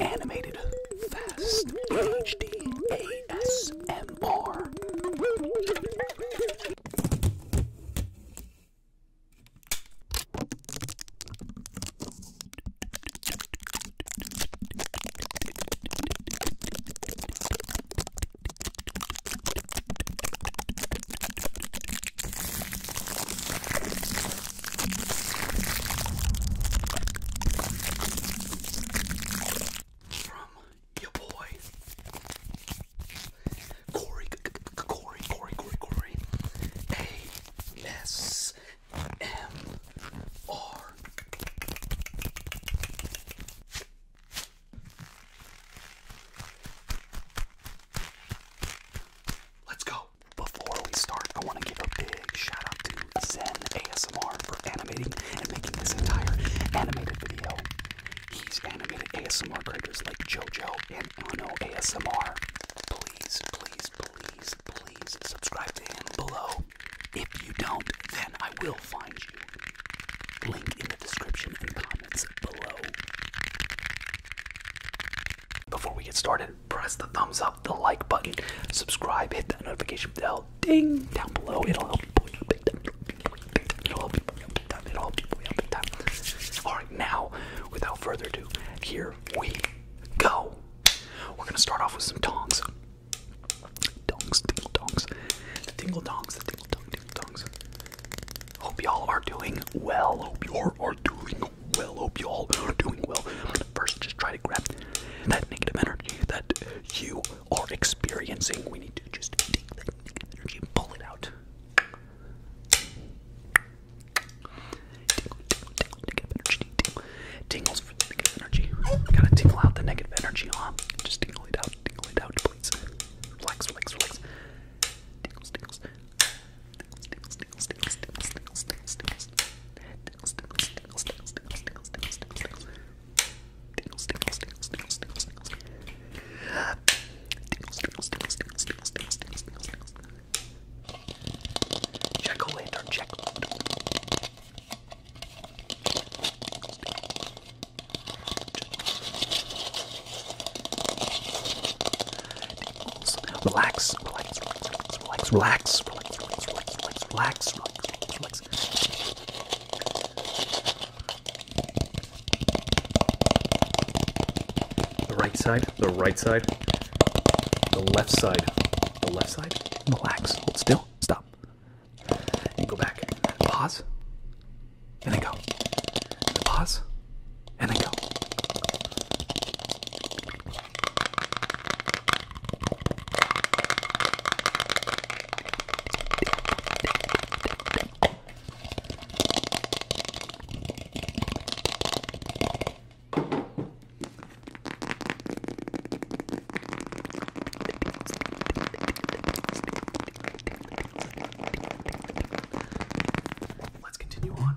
Animated Fast HD ASMR. From your boy Corey, Corey, Corey, Corey, Corey. A S M R. Let's go. Before we start, I want to give a big shout out to Zen ASMR for animating and making this entire animated video. He's animated ASMR creators like JoJo and Ano ASMR. Please, please, please, please subscribe to him below. If you don't, then I will find you. Link in the description and comment comments below. Before we get started, press the thumbs up, the like button, subscribe, hit that notification bell, ding, down below. It'll help you boy up big time. It'll help you boy up big time. It'll help you boy up big time. Alright, now, without further ado, here we go. We're gonna start off with some tongs. Dongs, tingle dongs. The tingle dongs, the tingle dong, ding Hope y'all are doing well. Hope y'all are doing well. Hope y'all are doing well. First, just try to grab that negative energy that you are experiencing. We need to just take that negative energy and pull it out. Tingles for the negative energy. Gotta tingle out the negative energy, huh? Just tingle it out, tingle it out, please. Flex, flex, flex. Tickles, tickles. Tickles, tickles, tickles, tickles, tickles, tickles, tickles. Tickles, tickles, tickles, tickles, tickles, tickles, tickles, tickles. Tickles, tickles, tickles, tickles, tickles, tickles. Tickles, tickles, tickles, tickles, tickles, tickles, tickles, tickles, tickles. Check a lantern, check. Relax, relax, relax, relax, relax, relax, relax, relax, relax, relax, relax. The right side, the right side, the left side, the left side. Relax, hold still, stop and go back and pause and then go and pause and then go Let's continue on.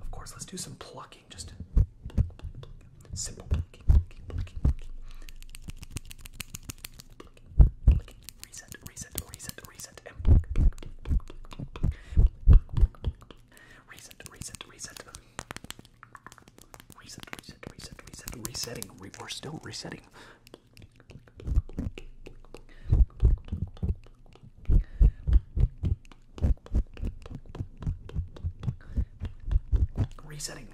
Of course, let's do some plucking. Just pluck, pluck, pluck. simple plucking, plucking, plucking, plucking, plucking. Reset, reset, reset, reset, and pluck, pluck, pluck, pluck, pluck, pluck, pluck, pluck, pluck, pluck. Reset, reset, reset. Reset, reset, reset, reset, resetting. Re we're still resetting. Resetting.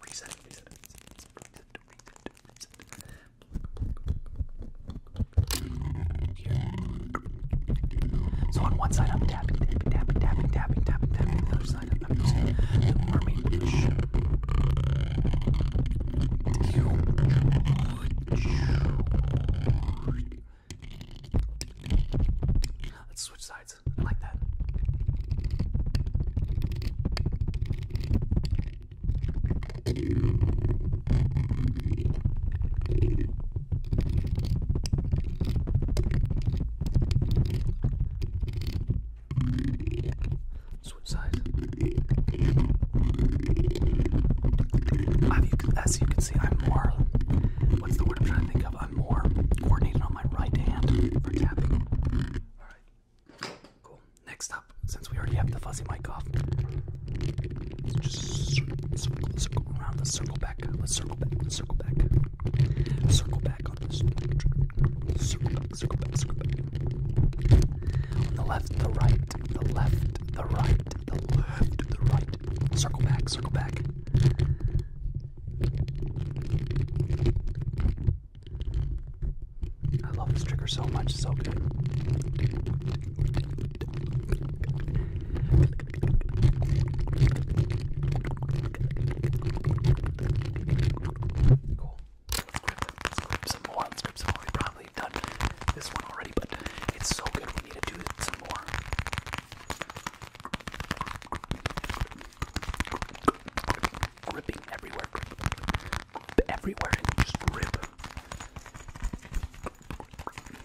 Resetting, reset, reset, reset, reset, reset. So on one side I'm tapping, tapping, tapping, tapping, tapping, tapping, tapping. The other side up. I'm using the mermaid brush. Let's switch sides. I like that. Switch sides. As you can see, I'm more. What's the word I'm trying to think of? I'm more coordinated on my right hand for tapping. Alright. Cool. Next up, since we already have the fuzzy mic off, just circle, circle around. Let's circle back. Let's circle back. Let's circle back. Circle back on this. Circle back, circle back, circle back. On the left, the right, the left, the right, the left, the right. Circle back, circle back. I love this trigger so much, so good. Cool. Let's grab some more. Let's grab some more. We've probably done this one already, but it's so good. We need to do some more. Gripping everywhere. Grip everywhere and just rip. Gripping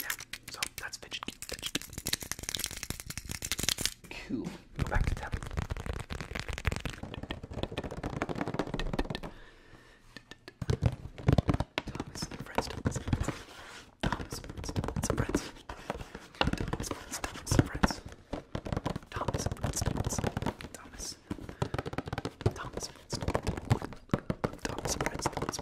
Yeah, so that's fidget cube. Fidget cube. Cool. Go back to tapping. Thomas and friends, Thomas and friends. Thomas and friends, Thomas and friends. Thomas and friends, Thomas and friends. Thomas and friends, Thomas. Thomas. Thomas, Thomas. Thomas Prince, Thomas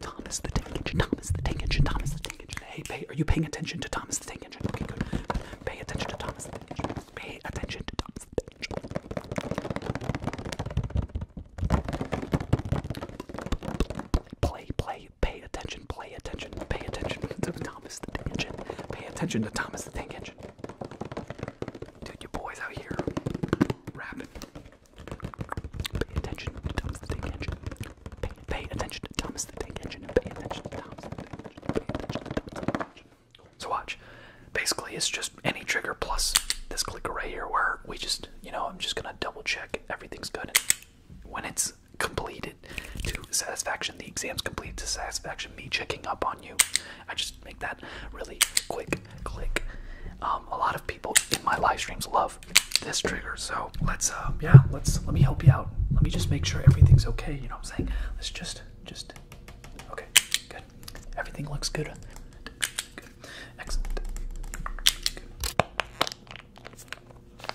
Thomas the tank engine, Thomas the tank engine, Thomas the tank engine, Thomas the tank Hey, pay, are you paying attention to Thomas the tank engine? Okay, good. Pay attention to Thomas the tank engine. Pay attention to Thomas the tank engine. Play, play, pay attention, play attention, pay attention to Thomas. Thomas the Tank Engine. Pay attention to Thomas the Tank Engine. Dude, you boys out here rapping. Pay attention to Thomas the Tank Engine. Pay, pay attention to Thomas the Tank Engine. And pay attention to Thomas the Tank Engine. Pay attention to Thomas the Tank Engine. So watch. Basically, it's just any trigger plus this clicker right here where we just, you know, I'm just going to double check everything's good. And when it's completed to satisfaction, the exams complete to satisfaction, me checking up on you. I just make that really quick click. Um, a lot of people in my live streams love this trigger, so let's uh, yeah, let's let me help you out. Let me just make sure everything's okay. You know what I'm saying? Let's just just okay, good. Everything looks good. Excellent. Good.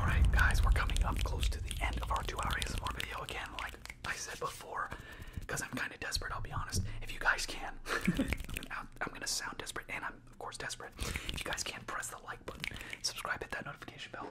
Alright, guys, we're coming up close to the end of our two hour ASMR video again, like I said before, because I'm kind of desperate, I'll be honest. If you guys can, I'm going to sound desperate, and I'm, of course, desperate. If you guys can, press the like button, subscribe, hit that notification bell.